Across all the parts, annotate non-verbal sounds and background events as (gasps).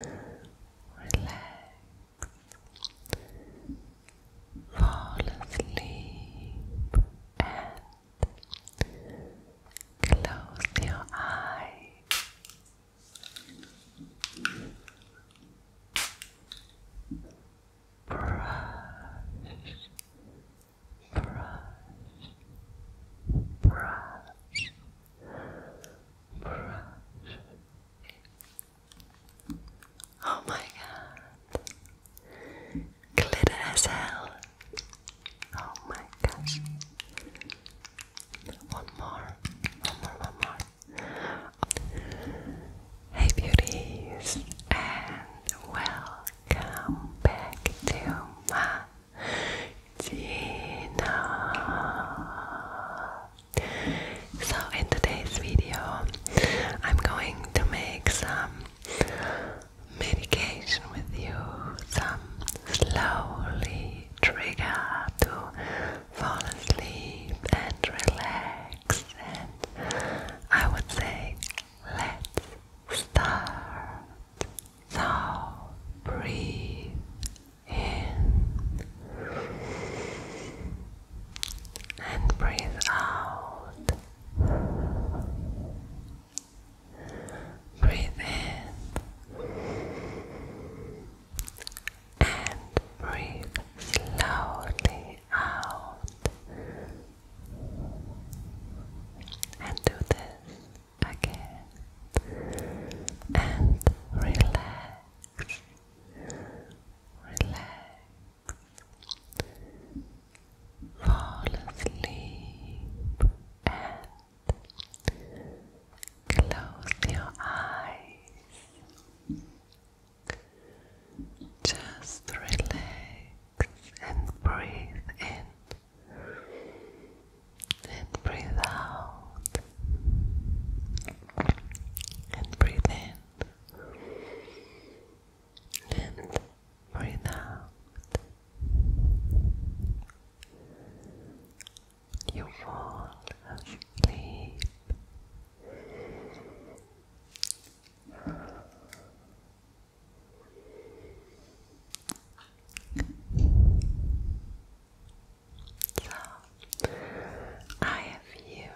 Relax. Fall asleep and close your eyes. Brush, brush, brush, brush. Oh my god. Glitter as hell. Oh my gosh. One more. One more, one more. Hey beauties and welcome back to my channel. So, in today's video, I'm going to make some medication with you, some slowly trigger to fall asleep and relax. And I would say, let's start. So, breathe in and breathe out. Breathe in and breathe slowly out. And do this again and relax relax, fall asleep and close your eyes. Just relax and breathe in and breathe out and breathe in and breathe out. You fall asleep. So, I have here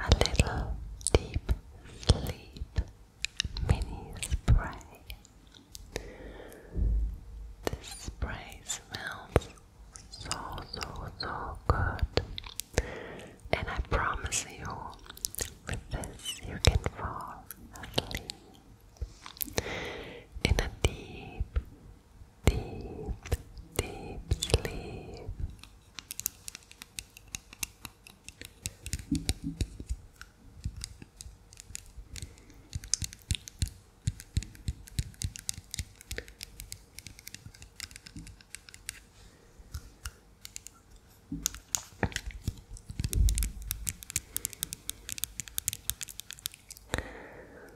a little deep sleep mini spray. This spray smells so, so, so good. And I promise you, with this you can fall asleep in a deep, deep, deep sleep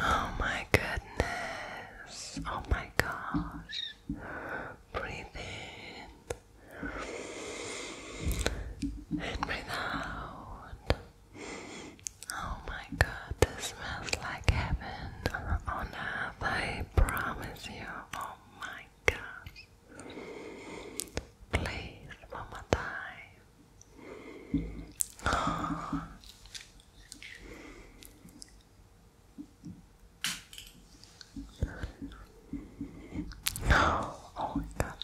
Oh my goodness. Oh my gosh. Breathe in and breathe out. Oh my god, this smells like heaven on earth. I promise you. Oh my Please, one more time. (gasps) Oh. my god.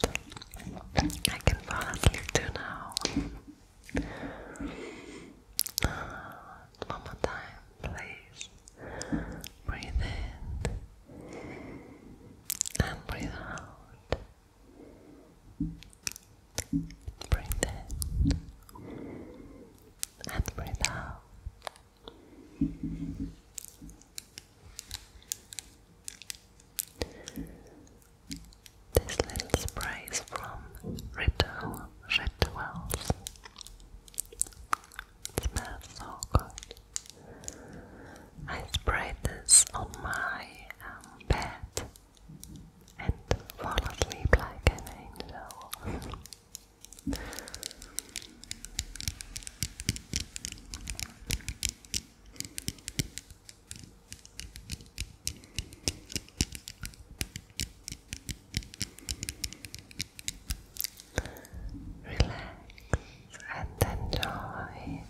I can fall asleep now. (sighs) One more time, please. Breathe in and breathe out. Breathe in and breathe out. This little spray is from Ritual Rituals. It smells so good. I sprayed this on my um, bed and fall asleep like an angel. Relax and enjoy.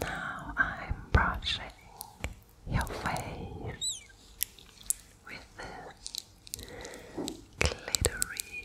Now I'm brushing your face with this glittery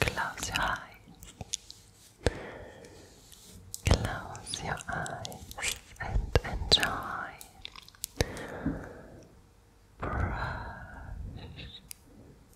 Close your eyes. Close your eyes and enjoy. Brush,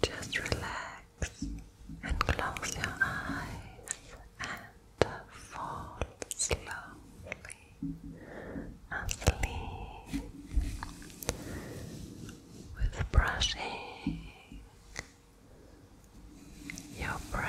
Just relax and close your eyes and fall slowly asleep with brushing your brain.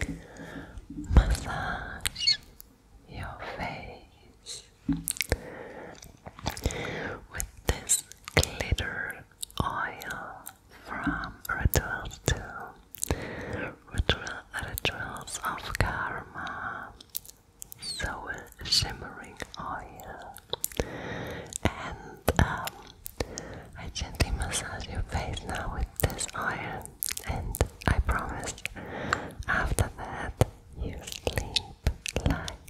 And last, I gently massage your face with this glitter oil from Ritual to Ritual Rituals of Karma Soul Shimmering Oil and um, I gently massage your face now with this oil and I promise after that you sleep like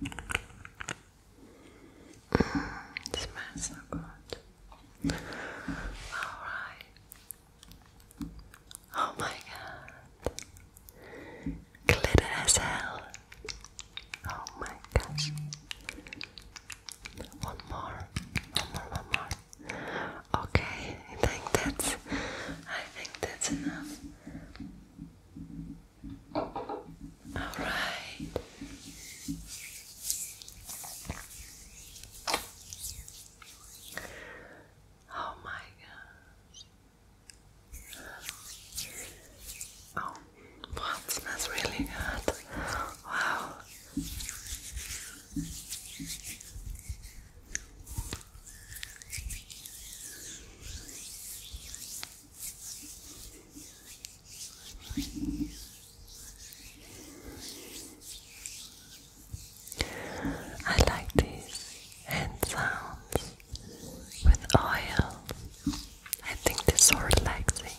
Mm, it smells so good. Alright. Oh my god. Glitter as hell. Oh my gosh. One more. One more, one more. Okay, I think that's I think that's enough. All right. Oh my god. Oh, wow, smells really good. Wow. I like these hand sounds with oil. I think they're relaxing.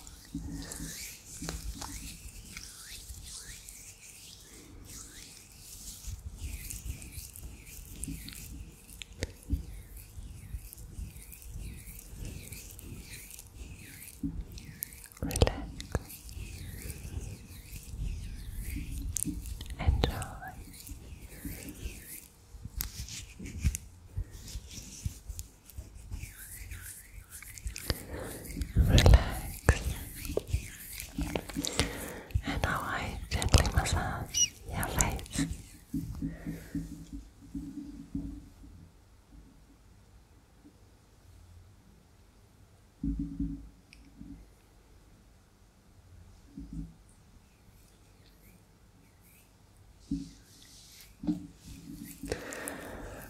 Relax. Enjoy. Relax. And now I gently massage your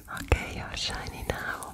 Okay, you're shiny now.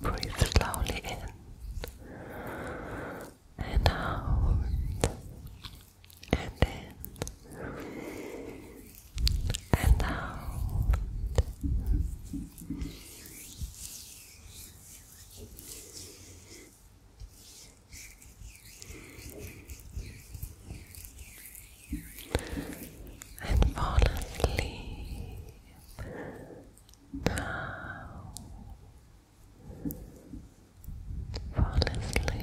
Breathe slowly in and out and in and out. And fall asleep now, fall asleep.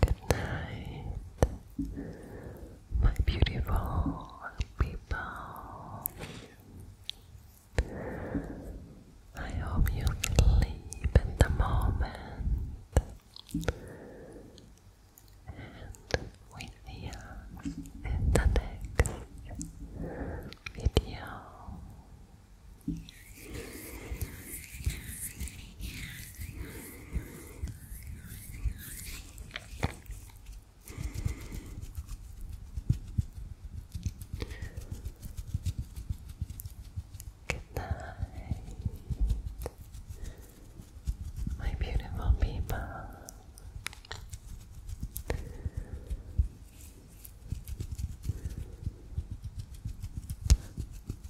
Good night, my beautiful people. I hope you sleep in the moment. And we see you in the next video. Good night, my beautiful people.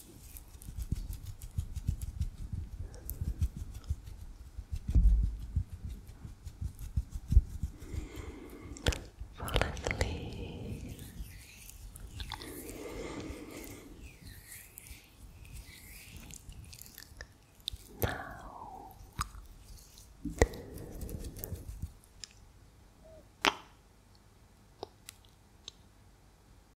Fall asleep. Now.